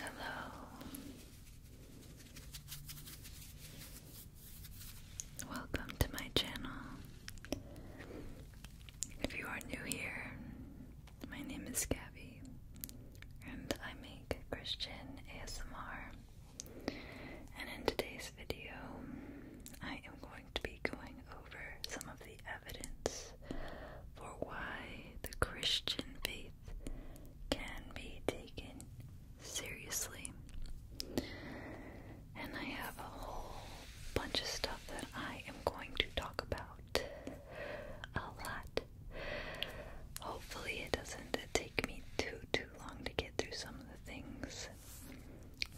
Hello. Welcome to my channel. If you are new here, my name is Gabby, and I make Christian ASMR. And in today's video, I am going to be going over some of the evidence for why the Christian faith can be taken seriously. And I have a whole bunch of stuff that I am going to talk about a lot. Hopefully, it doesn't take me too, too long to get through some of the things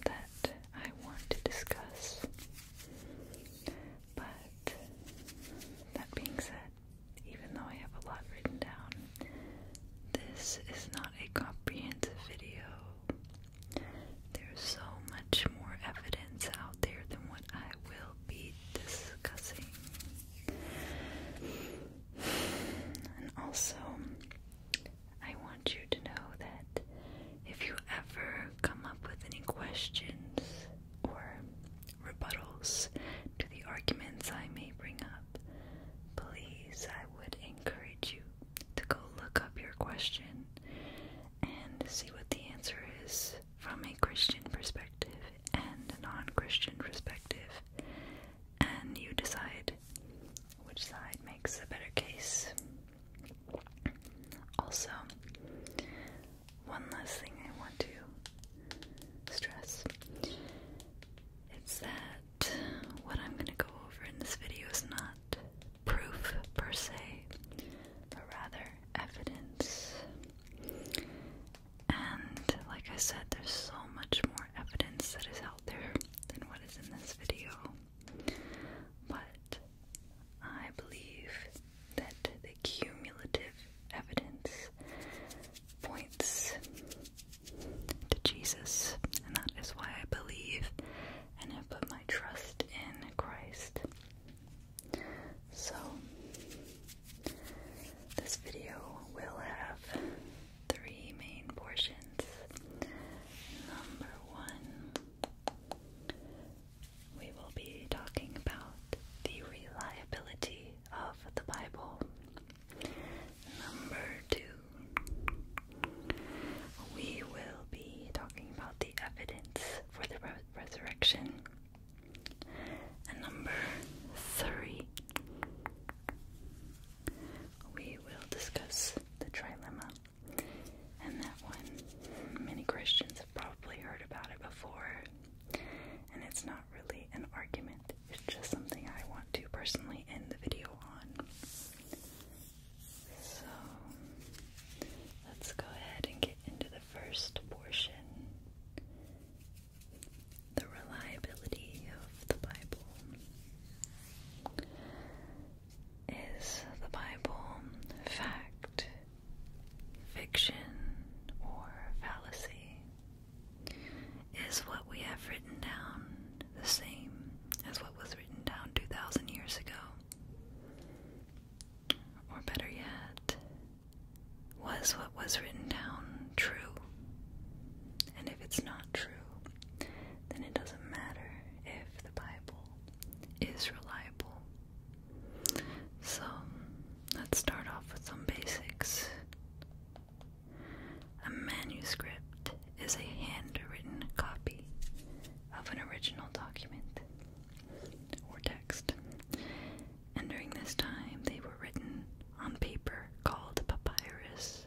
that I want to discuss. But that being said, even though I have a lot written down, this is not a comprehensive video. There's so much more evidence out there than what I will be discussing. And also, I want you to know that if you ever come up with any questions or rebuttals to the arguments I may bring up, please, I would encourage you to go look up your question and see what the answer is from a Christian perspective and a non Christian perspective, and you decide which side makes a better case. Also, one last thing I want to stress it's that what I'm going to go over in this video is not proof per se, but rather evidence. And like I said, there's so much more evidence that is out there than what is in this video. But I believe that the cumulative evidence points to Jesus, and that is why I believe and have put my trust in Christ. So, this video will have three main portions. Number one, we will be talking about the reliability of the Bible. Number two, we will be talking about the evidence for the resurrection. And number three, we will discuss the trilemma and that one many Christians have probably heard about it before. And it's not really an argument, it's just something I want to personally end the video on. So let's go ahead and get into the first portion the reliability of the Bible. Is the Bible fact, fiction, or fallacy, is what we have written down the same as what was written down 2,000 years ago? Or better yet, was what was written down true? And if it's not true, then it doesn't matter if the Bible is reliable so, let's start off with some basics. A manuscript is a handwritten copy of an original document or text, and during this time they were written on paper called papyrus.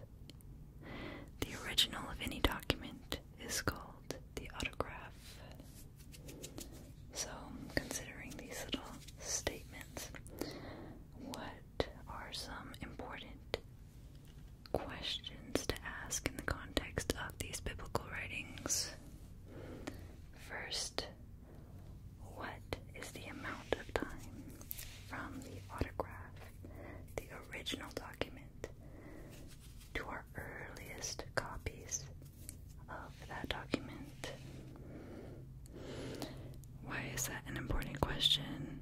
The original of any document is called the autograph. So, considering these little statements, what are some important questions to ask in the context of these biblical writings? First, what is the amount of time from the autograph, the original document, to our earliest copies of that document. Why is that an important question?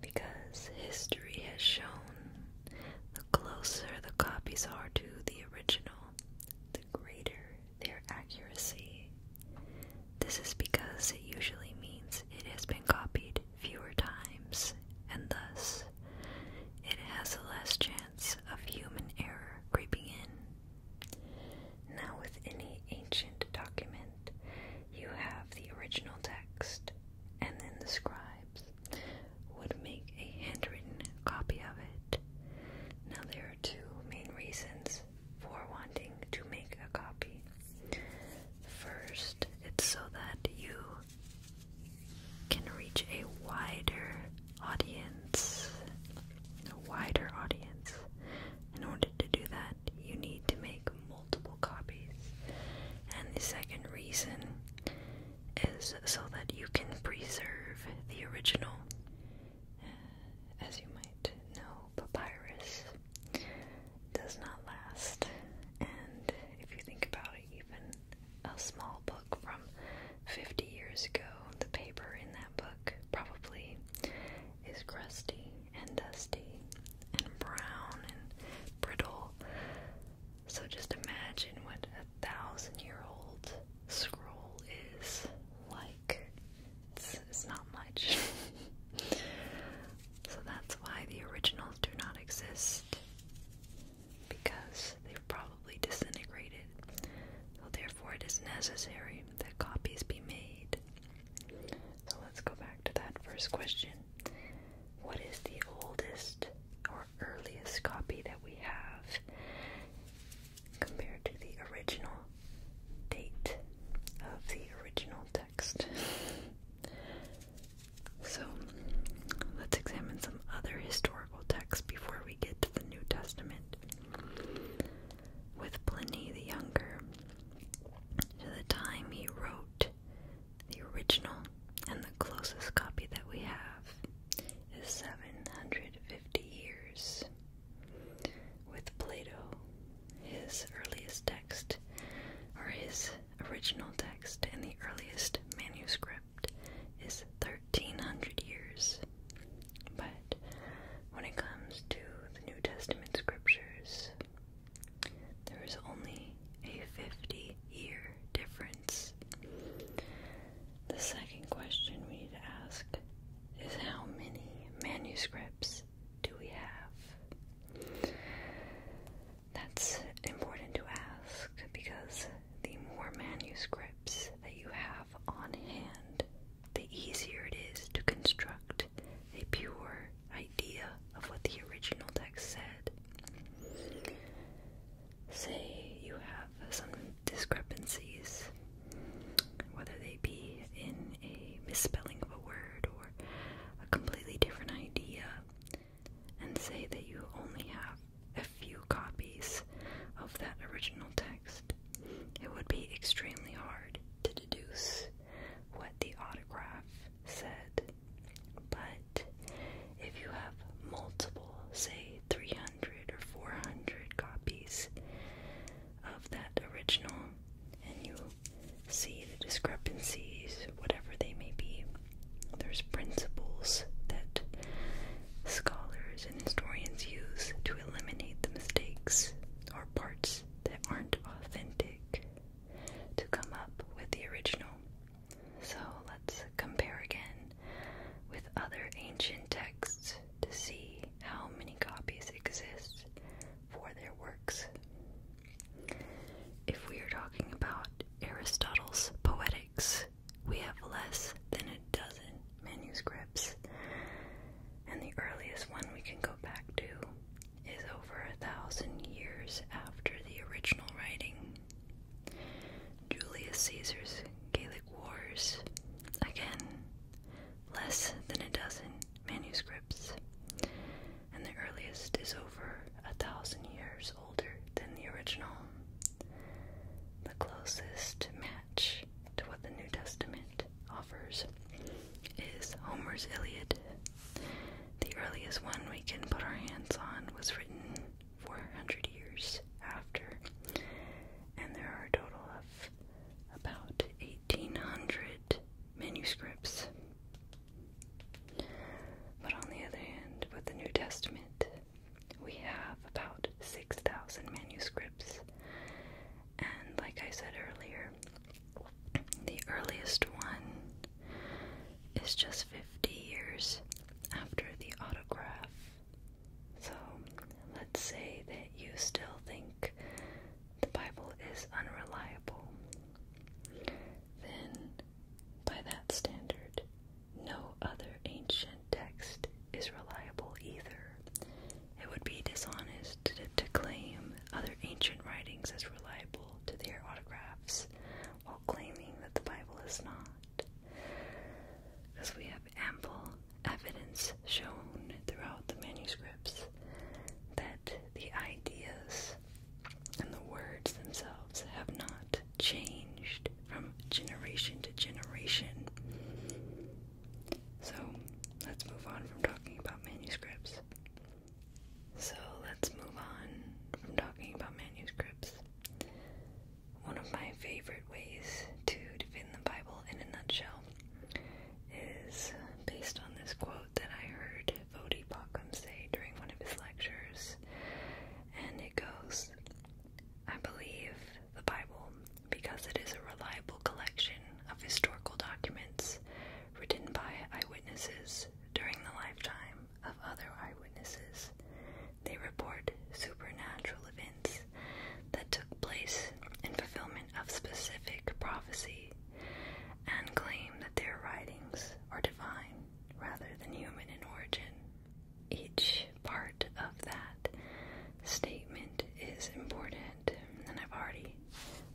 Because history has shown the closer the copies are to the original, the greater their accuracy. This is because it usually means it has been copied fewer times and thus it has a less chance of human error creeping in. Now, with any ancient document, you have the original text, and then the scribes would make a handwritten copy of it. Now, there are two main reasons for wanting to make a copy. First, it's so that you can reach a wider audience, a wider audience. In order to do that, you need to make multiple copies. And the second reason is so that you can preserve the original. Uh, as you might know, papyrus does not last, and if you think about it, even a small book from 50 years ago. The paper in that book probably is crusty and dusty and brown and brittle. So just imagine what a thousand year old scroll is like. It's, not much. so that's why the originals do not exist because they've probably disintegrated. therefore it is necessary that copies be made. So let's go back to that first question. What is the oldest or earliest copy that we have compared to the original date of the original text? so let's examine some other historical texts before we we get to the New Testament with Pliny the Younger. To the time he wrote the original, and the closest copy that we have is 750 years. With Plato, his earliest text, or his original text, and the earliest manuscript script is 1300 years. But when it comes to the New Testament scriptures, there is only a 50 year difference. The second question we need to ask is how many manuscripts do we have? That's important to ask because the more manuscripts, that you have on hand, the easier it is to construct a pure idea of what the original text said. Say you have some discrepancies, whether they be in a misspelling of a word or a completely different idea, and say that you only have a few copies of that original text, it would be extremely hard to deduce what the autograph said. But if you have multiple, say 300 or 400 copies of that original, and you see the discrepancies, whatever they may be, there's principles that scholars and historians use to eliminate the mistakes or parts that aren't authentic to come up with the original. So let's compare again with other ancient texts to see how many copies exist for their works. If we are talking about Aristotle's Poetics, we have less than a dozen manuscripts, and the earliest one we can go back to is over a thousand years after the original writing. Julius Caesar's Gallic Wars, again, less than a dozen manuscripts, and the earliest is over a thousand years older than the original the closest match to what the New Testament offers is Homer's Iliad. The earliest one we can put our hands on was written 400 years after, and there are a total of about 1800 manuscripts. But on the other hand, with the New Testament, we have about 6,000 manuscripts, and like I said earlier, the earliest one is just 50 years after the autograph. So let's say that you still think the Bible is unreliable. Then, by that standard, no other ancient text is reliable either. It would be dishonest to, claim other ancient writings as reliable to their autographs while claiming that the Bible is not. Because we have ample evidence shown throughout the manuscripts that the ideas and the words themselves have not changed from generation to generation. So let's move on from talking about manuscripts. So let's move on from talking about manuscripts. One of my favorite ways to defend the Bible in a nutshell is based on this quote that I heard Vodi say during one of his lectures, and it goes I believe the Bible because it is a reliable collection of historical documents written by eyewitnesses during the lifetime of other eyewitnesses. They report supernatural events that took place in fulfillment of specific prophecy and claim that their writings are divine rather than human in origin each part of that statement is important. And I've already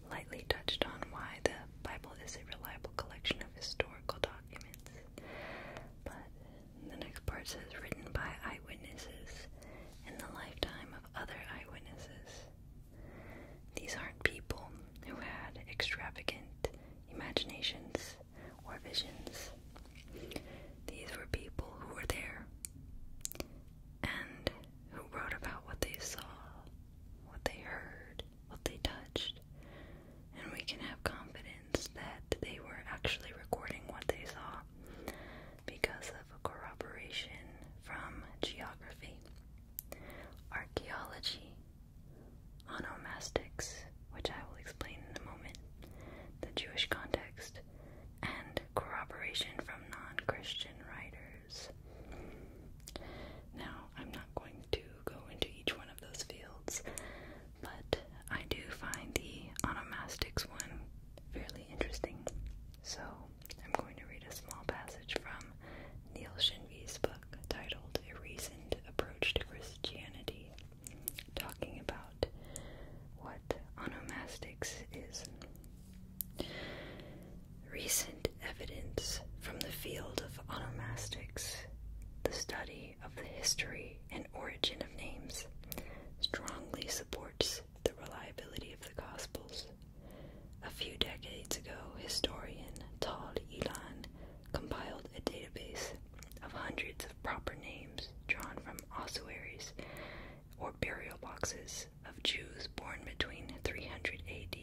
lightly touched on why the Bible is a reliable collection of historical documents. But the next part says, written by eyewitnesses in the lifetime of other eyewitnesses. These aren't people who had extravagant imaginations or visions. These were people who were there and who wrote about what they saw, what they heard, what they touched, and we can have confidence that they were actually recording what they saw because of corroboration from geography, archaeology, onomastics, which I will explain in a moment, the Jewish context, and corroboration from non Christian writers. Now, I'm not going to go into each one of those fields, but I do find the onomastics one fairly interesting. So, I'm going to read a small passage from Neil Shinvey's book titled A Reasoned Approach to Christianity talking about what onomastics is. Recent evidence from the field of onomastics, the study of the history and origin of names, strongly supports the reliability of the Gospels. A few decades ago, historian Tal Elan compiled a database of hundreds of proper names drawn from ossuaries or burial boxes of Jews born between 300 AD,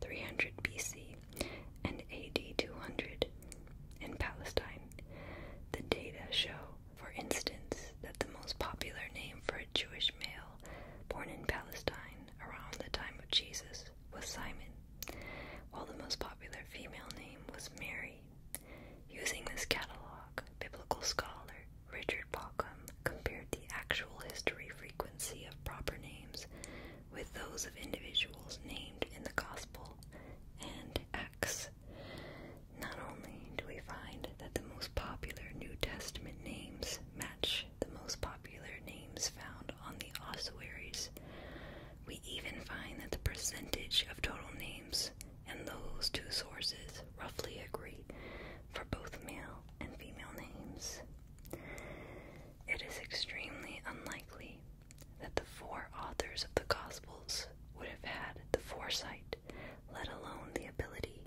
300 BC, and AD 200 in Palestine. The data show, for instance, that the most popular name for a Jewish male born in Palestine around the time of Jesus was Simon, while the most popular female name was Mary Using this catalog, biblical scholar Richard Bauckham compared the actual history frequency of proper names with those of individuals named in the Gospel and Acts. Not only do we find that the most popular New Testament names match the most popular names found on the ossuaries, we even find that the percentage of total names and those two sources roughly agree for both male and female names. It is extremely unlikely that the four authors of the Gospels would have had the foresight, let alone the ability,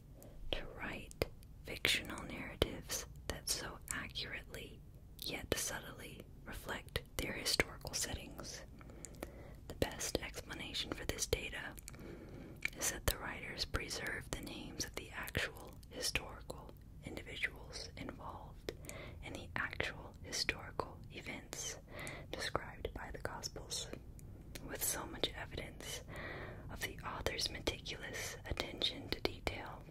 to write fictional narratives that so accurately yet subtly reflect their historical settings. The best explanation for this data is that the writers preserved the names of the actual historical individuals involved in the actual historical events described by the Gospels. With so much evidence of the author's meticulous attention to detail,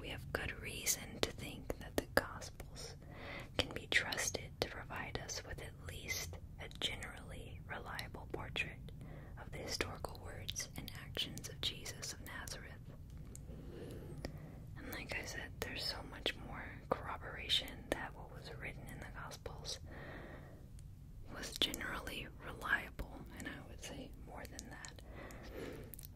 we have good reason to think that the Gospels can be trusted to provide us with at least a generally reliable portrait of the historical words and actions of Jesus of Nazareth. And like I said, there's so much more corroboration that what was written in the Gospels was generally reliable, and I would say more than that.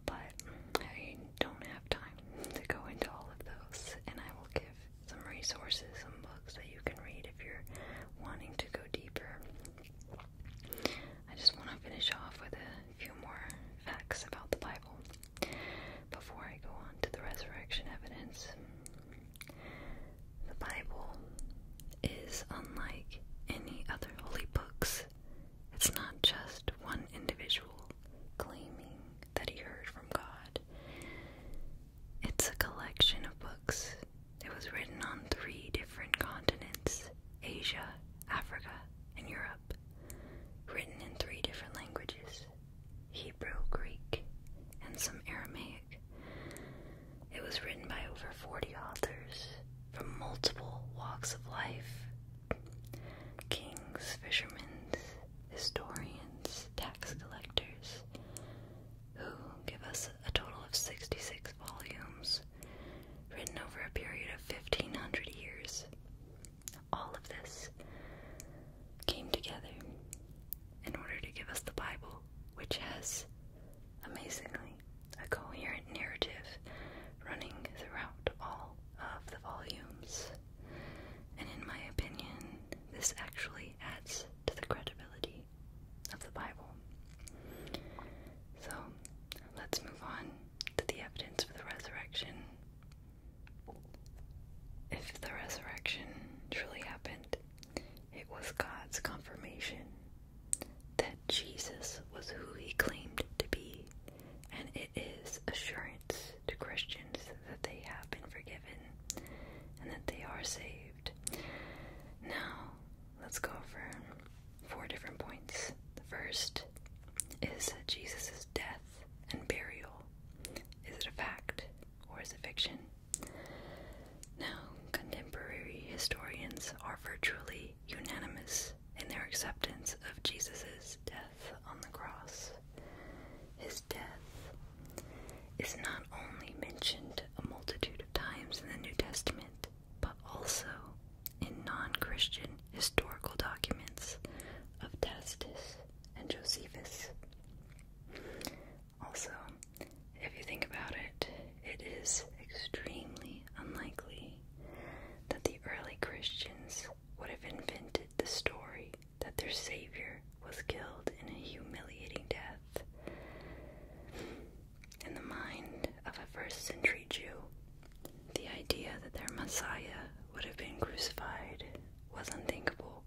But I don't have time to go into all of those, and I will give some resources, some books that you can read if you're wanting to go deeper. I just want to finish off with a few more facts about the Bible before I go on to the resurrection evidence. The Bible is unlike any other holy books. It's not just one individual claiming that he heard from God. It's a collection of books. It was written on three different continents Asia, Africa, and Europe. Written in three different languages Hebrew, Greek, and some Aramaic. It was written by over 40 authors from multiple walks of life kings, fishermen, historians, tax collectors, who give us a total of 66 volumes written over a period of 1500 years. All of this came together in order to give us the Bible, which has, amazingly, a coherent narrative running throughout all of the volumes. And in my opinion, this actually adds to the credibility of the Bible. So let's move on to the evidence for the resurrection. If the resurrection truly happened, it was God's confirmation that Jesus was who he claimed to be, and it is assurance to Christians that they have been forgiven and that they are saved. Now, let's go over four different points. The first is Jesus' death and burial. Is it a fact or is it fiction? Now, contemporary historians are virtually unanimous in their acceptance of Jesus' death on the cross. His death is not only mentioned a multitude of times in the New Testament, but also in non Christian historical documents of Tacitus and Josephus. Also, if you think about it, it is extremely unlikely that the early Christians would have invented the story that their Savior was killed in a humiliating death. In the mind of a first century Jew, the idea that their Messiah would have been crucified was unthinkable,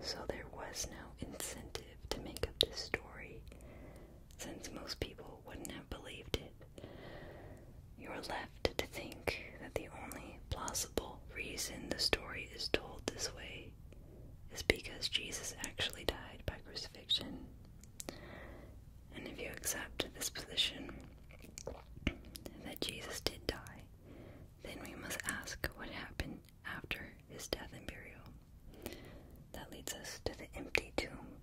so there was no incentive to make up this story, since most people wouldn't have believed it. You are left to think that the only plausible reason the story is told this way is because Jesus actually died by crucifixion. And if you accept this position that Jesus did die, then we must ask what happened after his death and burial. That leads us to the empty tomb,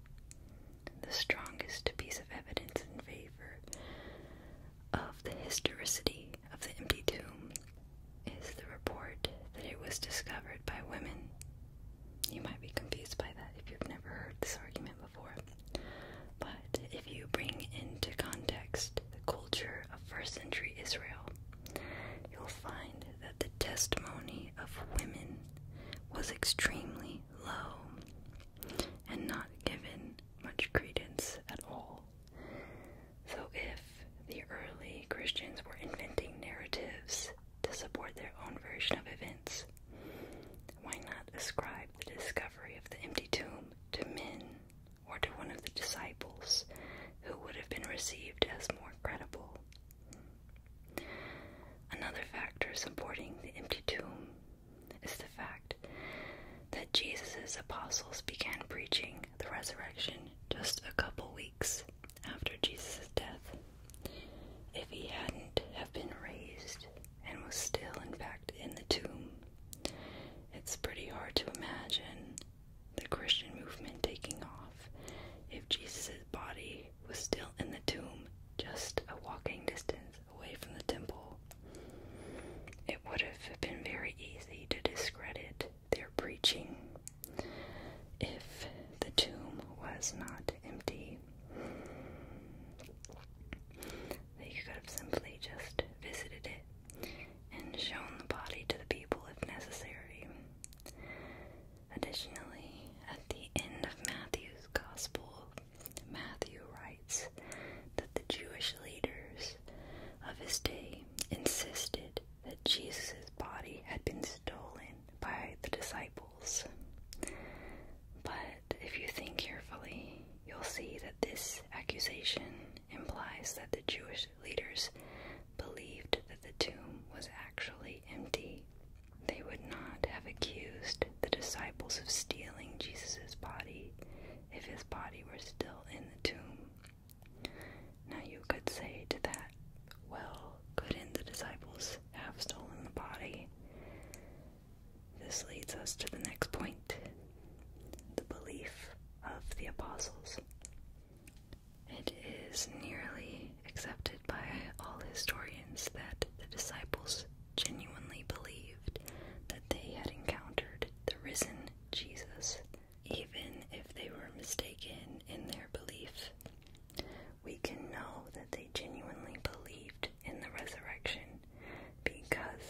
the strongest piece of evidence in favor of the historicity of the empty tomb is the report that it was discovered by women. You might be confused by that if you've never heard this argument before. But if you bring into context the culture of first century Israel, you'll find that the testimony of women was extremely low and not given much credence at all. So, if the early Christians were inventing narratives to support their own version of events, why not ascribe the discovery of the empty tomb to men or to one of the disciples who would have been received as more credible? Another factor supporting the empty tomb is the fact that Jesus' apostles began preaching the resurrection just a couple weeks after Jesus' death. If he hadn't have been raised and was still in fact in the tomb, it's pretty hard to imagine the Christian movement taking off if Jesus' body was still in the tomb just a walking distance away from the temple. It would have been very easy to discredit their preaching if the tomb was not empty. They could have simply just visited it and shown the body to the people if necessary. Additionally, at the end of Matthew's Gospel, Matthew writes that the Jewish leaders of his day insisted that Jesus' body had been stolen by the disciples. But if you think carefully, you'll see that this accusation implies that the Jewish leaders believed that the tomb was actually empty. They would not have accused the disciples of stealing Jesus' body if his body were still in the tomb. Now you could say to that, Well, couldn't the disciples have stolen the body? This leads us to the next point the belief of the apostles. It is nearly accepted by all historians that the disciples genuinely believed that they had encountered the risen Jesus even if they were mistaken in their belief. We can know that they genuinely believed in the resurrection because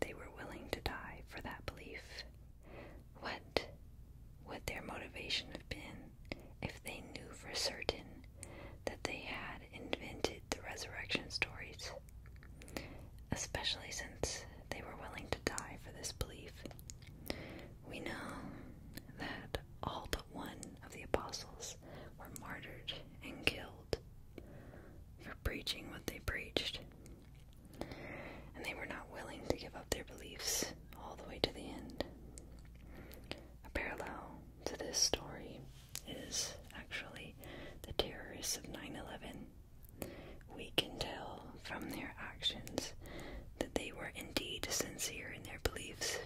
they were willing to die for that belief. What would their motivation have been if they knew for certain that they had invented the resurrection stories? especially since they were willing to die for this belief. We know that all but one of the apostles were martyred and killed for preaching what they preached, and they were not willing to give up their beliefs all the way to the end. A parallel to this story is actually the terrorists of 9 11 we can tell from their actions that they were indeed sincere in their beliefs.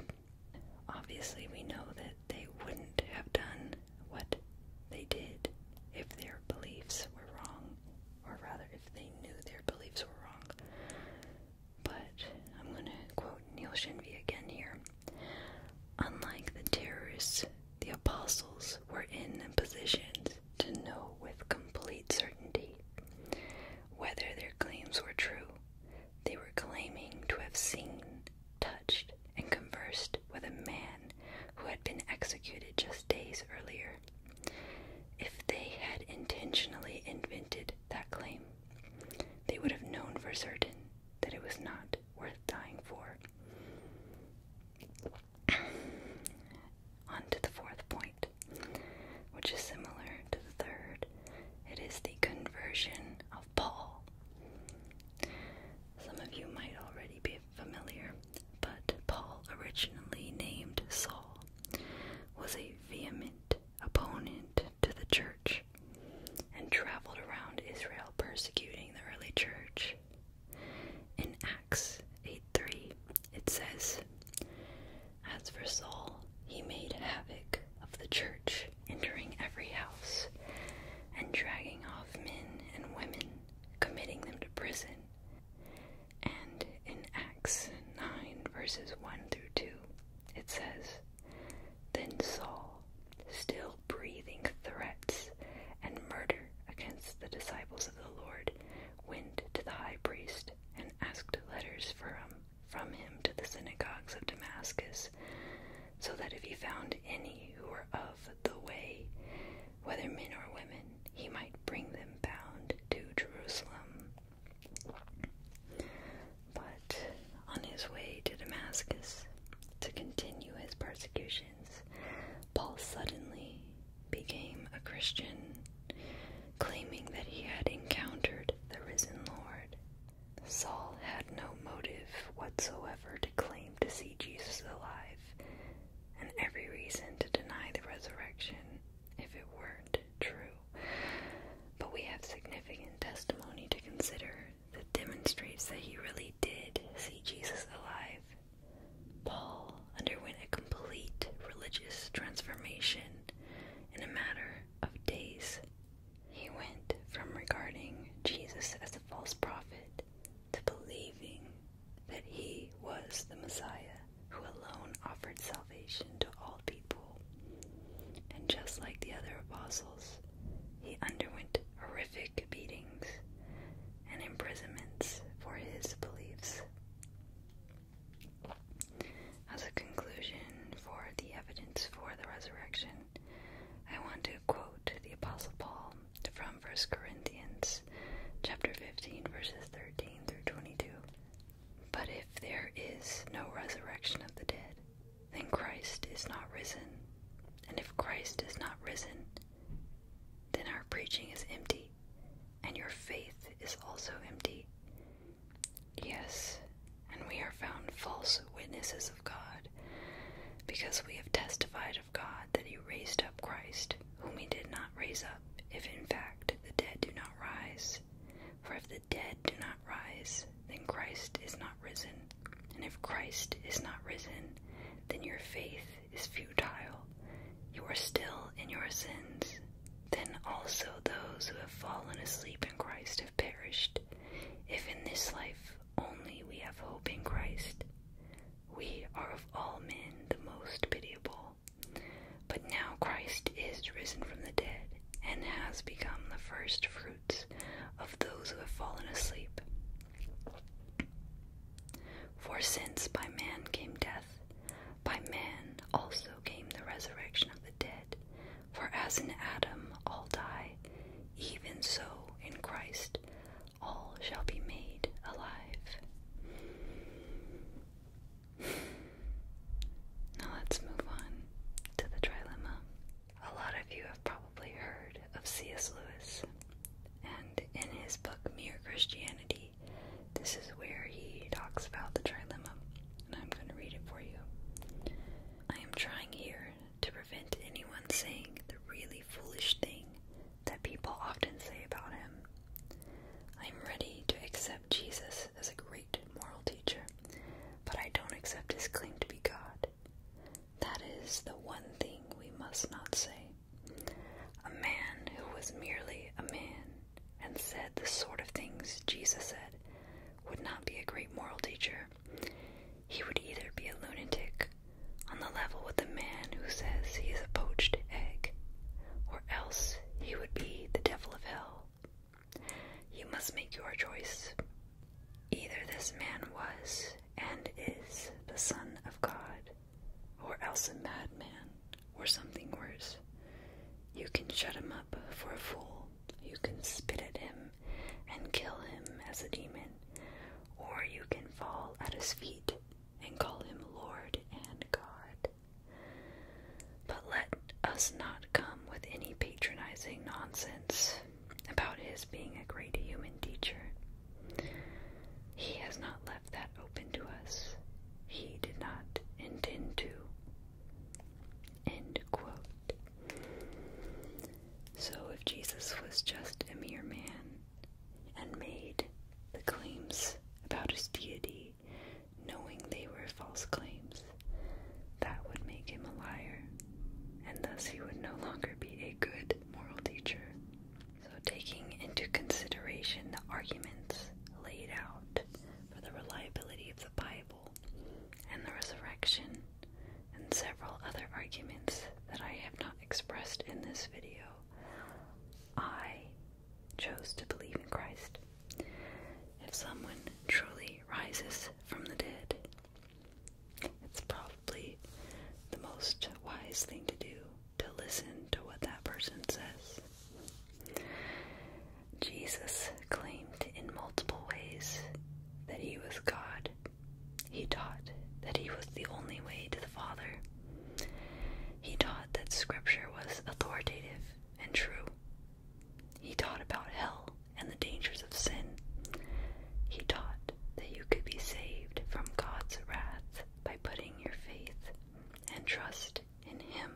Obviously, we know that they wouldn't have done what they did if their beliefs were wrong, or rather, if they knew their beliefs were wrong. But I'm going to quote Neil Shinvey again here. Unlike the terrorists, the apostles were in positions to know with complete certainty whether their claims were true. They were claiming to have seen, touched, and conversed with a man who had been executed just days earlier. If they had intentionally invented that claim, they would have known for certain that it was not worth dying for. On the fourth point, which is similar to the third. It is the conversion of Paul. Some of you might already be familiar, but Paul, originally named Saul, was a vehement opponent to the church and traveled around Israel persecuting the early church. In Acts 8 it says, As for Saul, he made havoc of the church, entering every house and dragging off men and women, committing them to prison. And in Acts 9, verses 1 through 2, it says, Then Saul, still breathing threats and murder against the disciples of the Lord, went to the high priest and asked letters for from him to the synagogues of Damascus, so that if he found any who were of the way, whether men or women, he might bring them bound to Jerusalem. But on his way to Damascus, to continue his persecutions, Paul suddenly became a Christian, claiming that he had encountered the risen Lord. Saul had no motive whatsoever to claim to see Jesus alive, and every reason to deny the resurrection if it weren't true. But we have significant testimony to consider that demonstrates that he really did see Jesus alive Paul underwent a complete religious transformation in a matter of days. He went from regarding Jesus as a false prophet to believing that he was the Messiah who alone offered salvation to all people. And just like the other apostles, he underwent horrific beatings and imprisonments for his beliefs. As a conclusion for the evidence for the resurrection, I want to quote the Apostle Paul from 1 Corinthians chapter 15 verses 13 through 22. But if there is no resurrection of the dead, then Christ is not risen. And if Christ is not risen, then our preaching is empty, and your faith is also empty. Yes, and we are found false witnesses of God, because we have testified of God that He raised up Christ, whom He did not raise up, if in fact the dead do not rise. For if the dead do not rise, then Christ is not risen. And if Christ is not risen, then your faith is futile. You are still in your sins. Then also those who have fallen asleep in Christ have perished. If in this life only we have hope in Christ, we are of all men the most pitiable. But now Christ is risen from the dead and has become the first fruits of those who have fallen asleep. For since by man came death, by man also came the resurrection of the dead. For as in Adam all die, even so in Christ all shall be made alive. Now let's move on to the trilemma. A lot of you have probably heard of C.S. Lewis, and in his book Mere Christianity, this is where he talks about the trilemma, and I'm going to read it for you. I am trying here to prevent anyone saying the really foolish thing that people often say about him. I am ready to accept Jesus as a great moral teacher, but I don't accept his claim to be God. That is the one thing we must not say a man who was merely a man and said the sort of things Jesus said would not be a great moral teacher. He would either be a lunatic on the level with the man who says he is a poached egg, or else he would be the devil of hell. You must make your choice. Either this man was and is the Son of God, or else a madman, or something worse. You can shut him up for a fool, you can spit at him and kill him as a demon, or you can fall at his feet and call him Lord and God. But let us not come with any patronizing nonsense about his being a great human teacher. He has not left that open to us. He did not intend to. End quote. So if Jesus was just a mere man and made the claims about his deity, knowing they were false claims, that would make him a liar, and thus he would no longer be a good moral teacher. So, taking into consideration the arguments laid out for the reliability of the Bible and the resurrection, and several other arguments that I have not expressed in this video, I chose to believe in Christ. If someone truly rises from the dead, it's probably the most wise thing to do to listen to what that person says. Jesus claimed in multiple ways that he was God. He taught that he was the only way to the Father. He taught that Scripture was authoritative and true. He taught about hell and the dangers of sin. He taught that you could be saved from God's wrath by putting your faith and trust in Him,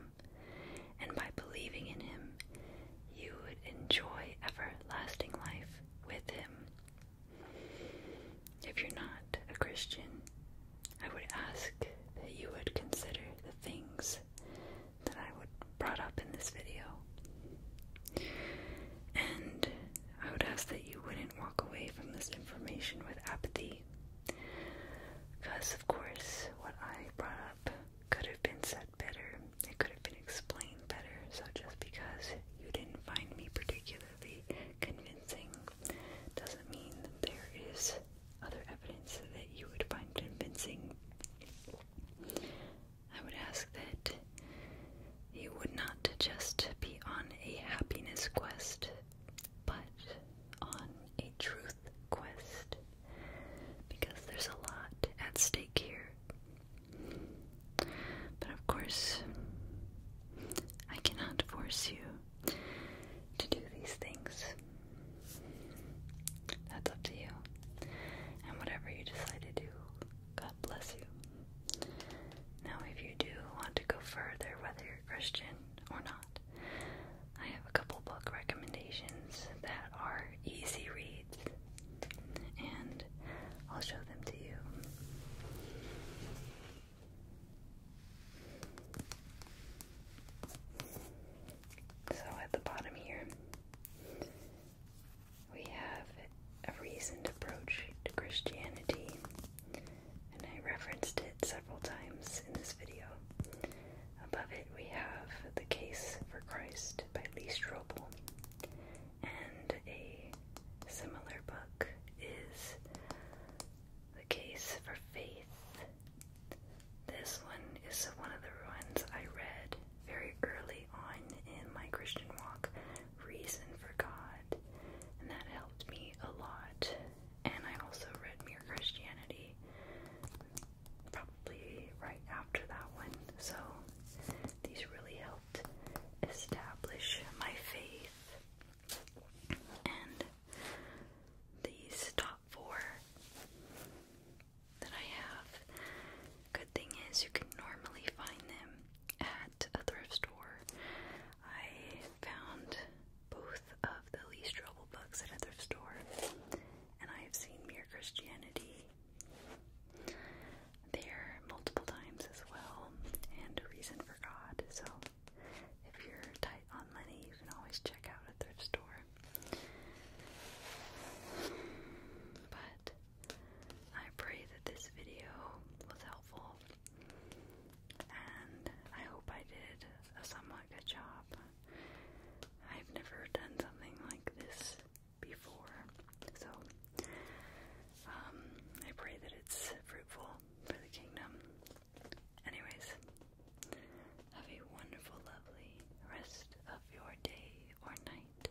and by believing in Him, you would enjoy everlasting life with Him. If you're not a Christian, I would ask that you would consider the things that I would brought up in this video. And I would ask that you wouldn't walk away from this information with apathy because, of course, what I brought up could have been said better, it could have been explained better. So, just because you didn't find me particularly convincing doesn't mean that there is other evidence that you would find convincing. I would ask that you would not just be on a happiness quest, but on a truth quest because there's a lot at stake here. But of course, I cannot force you to do these things. That's up to you. And whatever you decide to do, God bless you. Now, if you do want to go further, whether you're Christian or not, I have a couple book recommendations that are easy reads, and I'll show them to you. So at the bottom here, we have a reasoned approach to Christianity and I referenced it several times in this video. Above it, we have The Case for Christ by Lee Strobel, and a similar book is The Case for Faith. This one is one of the ones I read very early on in my Christian walk, Reason for God, and that helped me a lot and I also read Mere Christianity probably right after that one. So these really helped establish my faith. And these top four that I have, good thing is you can normally find them at a thrift store. I found both of the least trouble books at a thrift store, and I have seen Mere Christianity there multiple times as well, and A Reason for God. So if you're tight on money, you can always check out a thrift store. But I pray that this video was helpful and I hope I did a somewhat good job. I've never done something like this before, so um, I pray that it's fruitful for the kingdom. Anyways, have a wonderful, lovely rest of your day or night,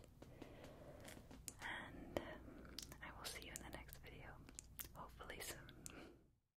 and um, I will see you in the next video, hopefully soon.